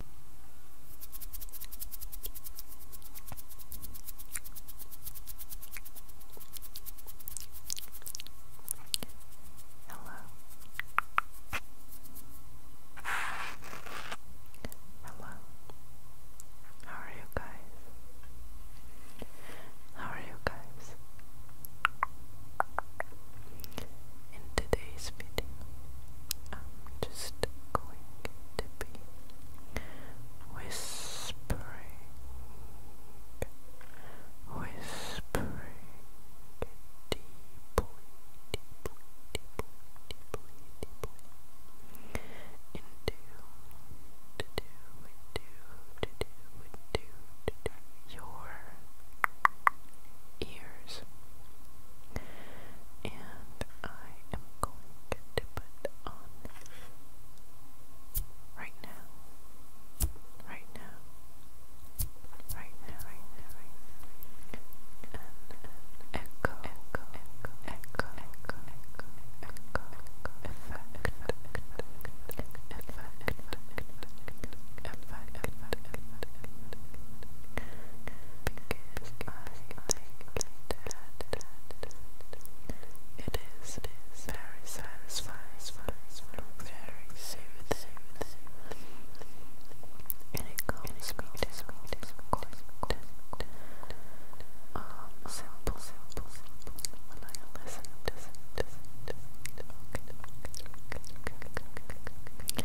Hello. Hello. How are you guys? How are you guys? In today's video, I'm just just going whispering, whispering deeply, deeply, deeply, deeply, deeply into, to do, into, to into, your ears and I am going to put on right now, right now, right now, right now, right now, an echo, echo, echo, echo, echo, echo, echo, effect, effect, effect, effect, effect because I It is, it is very satisfying, very soothing, and it calms um, simple, simple, simple, when I listen, listen, listen, listen, okay, okay, okay, okay, okay, okay,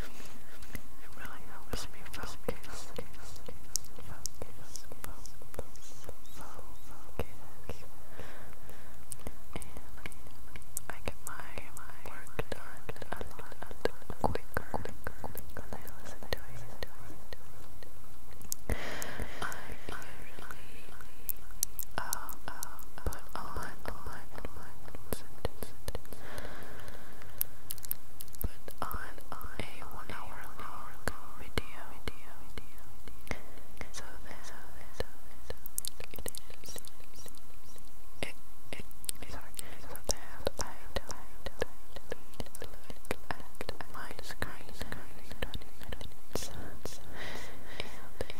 it really helps me focus, focus, focus, focus, focus. And I get my, my work done a lot quicker when I listen to it. I usually um, put on but on a one hour long video, video, video, so that it is, it, it, sorry, so that I don't look at my screen every 20 minutes, and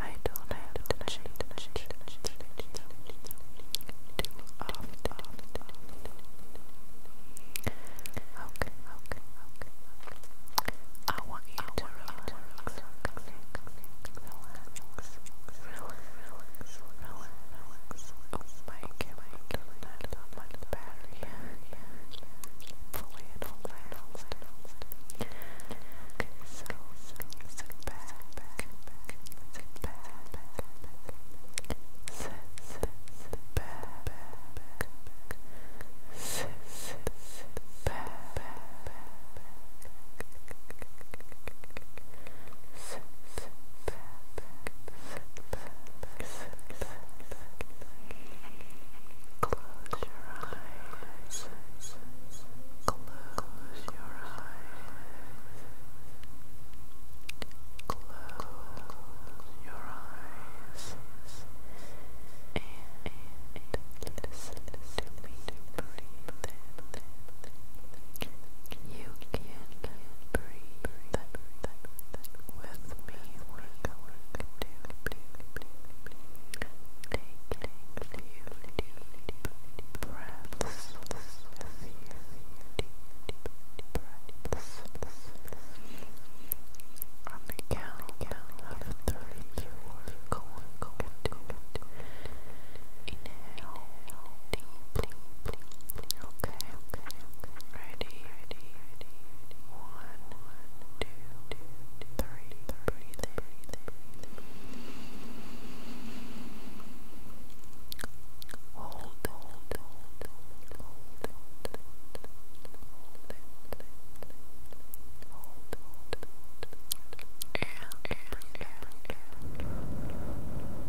I don't have to change, change, change too often. Okay, okay, okay. I want you to relax, relax, relax, relax, relax. Oh my camera, my battery, fully and fully Okay, so, so sit back, sit back, sit back, sit, sit, sit back, sit, sit, sit back, sit, sit back, sit back, sit back. Close your eyes. Close your eyes. Close your eyes. And, listen to me You can breathe with me. Take a few deep breaths. A few deep breaths. On the count of three, you're going, going to inhale deeply. Okay, okay, okay. Ready, ready, ready. One, two, three. Breathe, breathe, breathe. Hold, hold, hold, hold, hold, hold, hold, hold, hold, and breathe out, breathe out. Hold,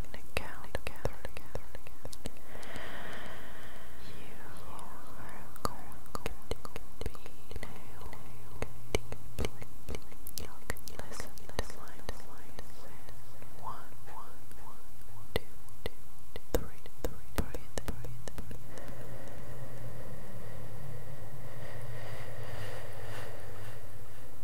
on count You are going to be nailed to the line to line Breathe.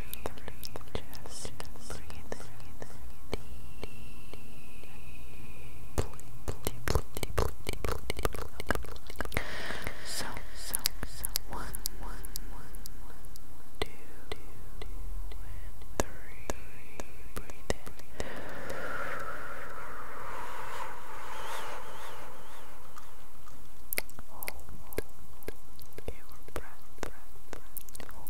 Just breathe deep. So, so, so, one, one, one, one, two, two, two, and three, three, breathe in. Hold your breath, breath, breath. Hold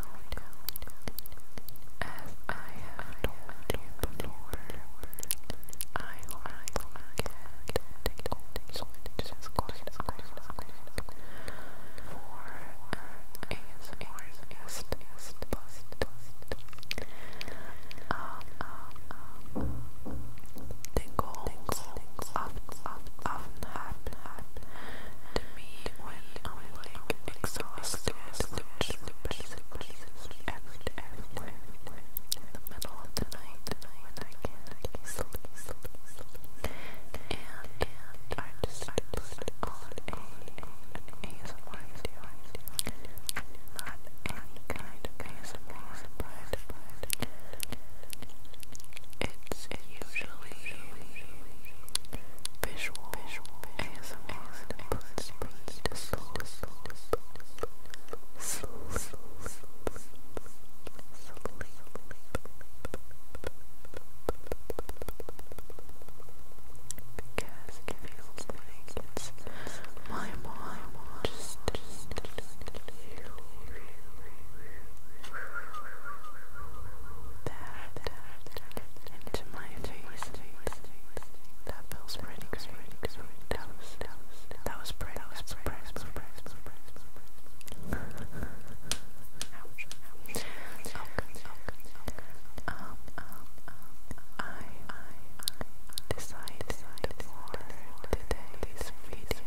As I have you before, I like it so it is quite a for an ASMRist, but um, um, the goals often, often happen to me when I'm exhausted, in the middle of the night and I just put on an ASMR video, not any kind of ASMR, but it's usually visual, visual, ASMR, and puts me to sleep, because it feels like it's my mom just, just, that, that, that, that feels pretty great. That was, that was, pretty, that was was pretty, I, decided for today's video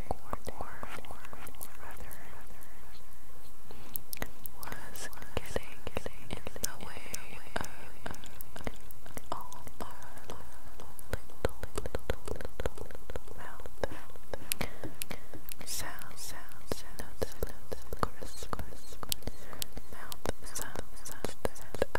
was getting, in the way of all our little, little, little, little mouth sound, sound, sound, crisp, crisp, mouth sounds that I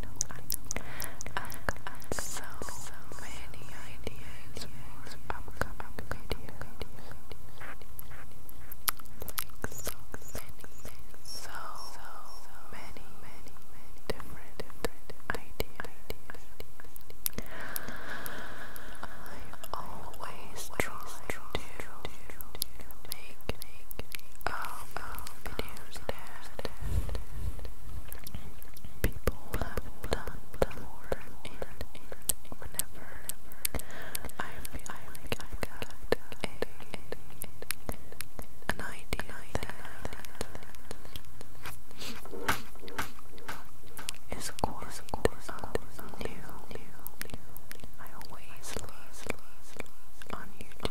I have got so, so many ideas for upcoming videos. Like so many, so, so many, many, many different, ideas. I always try to, to, make um, videos that people have done before and, and I have got an idea that is quite, is quite, new. I always love on YouTube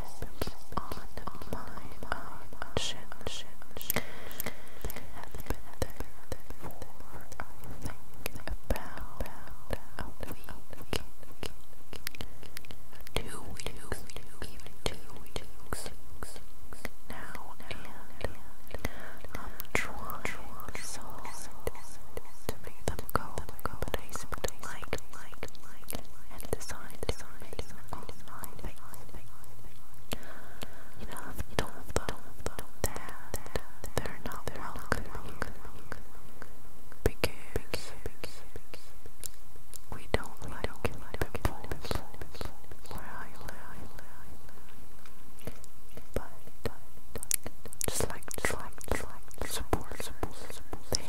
nibbled on my own They have been there for, I think, about a week. Two weeks, even two weeks. Now and I'm trying so hard to make them go, but I, but I, like, like and decide, decide, decide, You know, if don't love that, they're not welcome because we don't like people but, just like, just like, just like, support, support, support, they,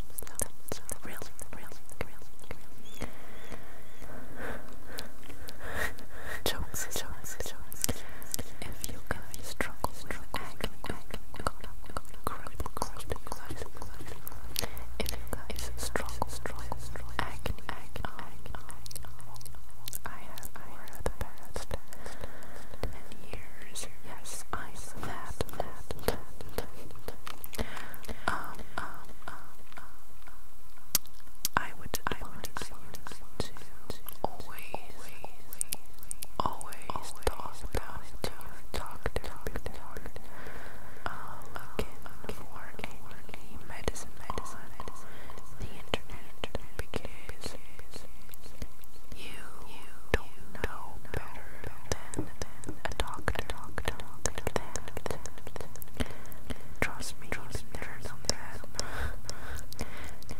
thumbs up, thumbs up, real, If you struggle with acne, if you struggle, struggle, acne, I have, I the best years yes, I that, that, that, Um, um, um, um, I would, I would, I would always, always, always talk to your doctor um, again, before any medicine, medicine, the internet, because you don't know better than a doctor. Trust me,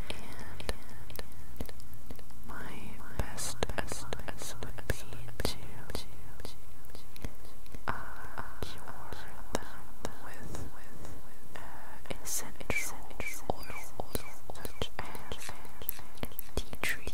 And my best as would be to uh, with essential oil, oil, tea tree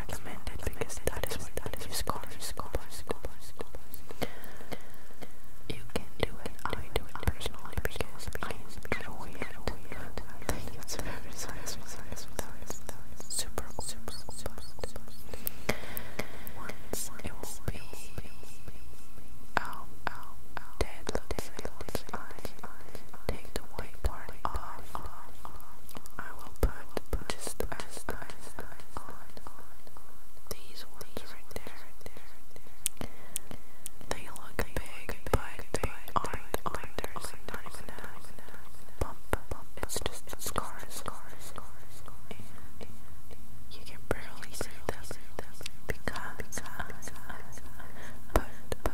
because that is what that is You can do it, I do it because I am weird. Super, super, it will be out, out, out. Dead, take the white part off. I will put these ones right there. They look big, but they aren't. there's not even a bump. It's just scars. And you can barely see them because I put lavender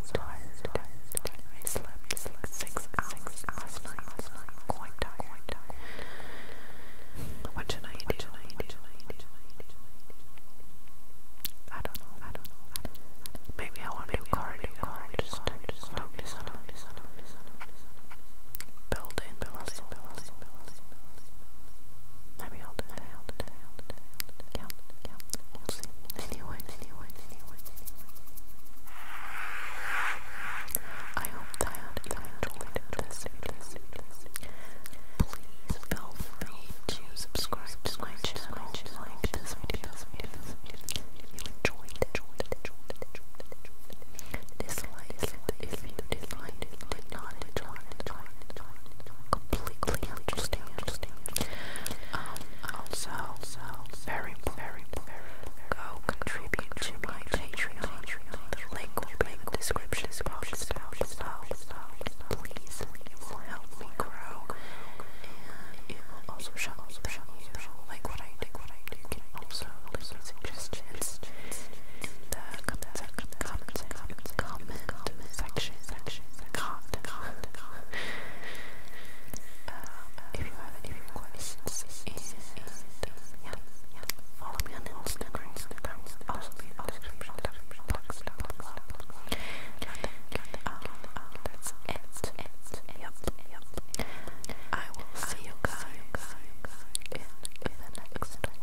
tired, tired, I slept six hours last night. Quite tired. What should I do? I don't know. Maybe I want to cardio. Just focus build in the anyone, I hope that you enjoyed this video. Please feel free to subscribe to my channel if you enjoyed dislike if you dislike it, did completely understand. Um, also, very important. Go contribute to my Patreon. The link will be in the description below. Please, it will help me grow, and also you like what I do. also suggestions in the comment section. Comment um, if you have any requests, and yeah, follow me on Instagram. also be in the I will see you guys in the next one.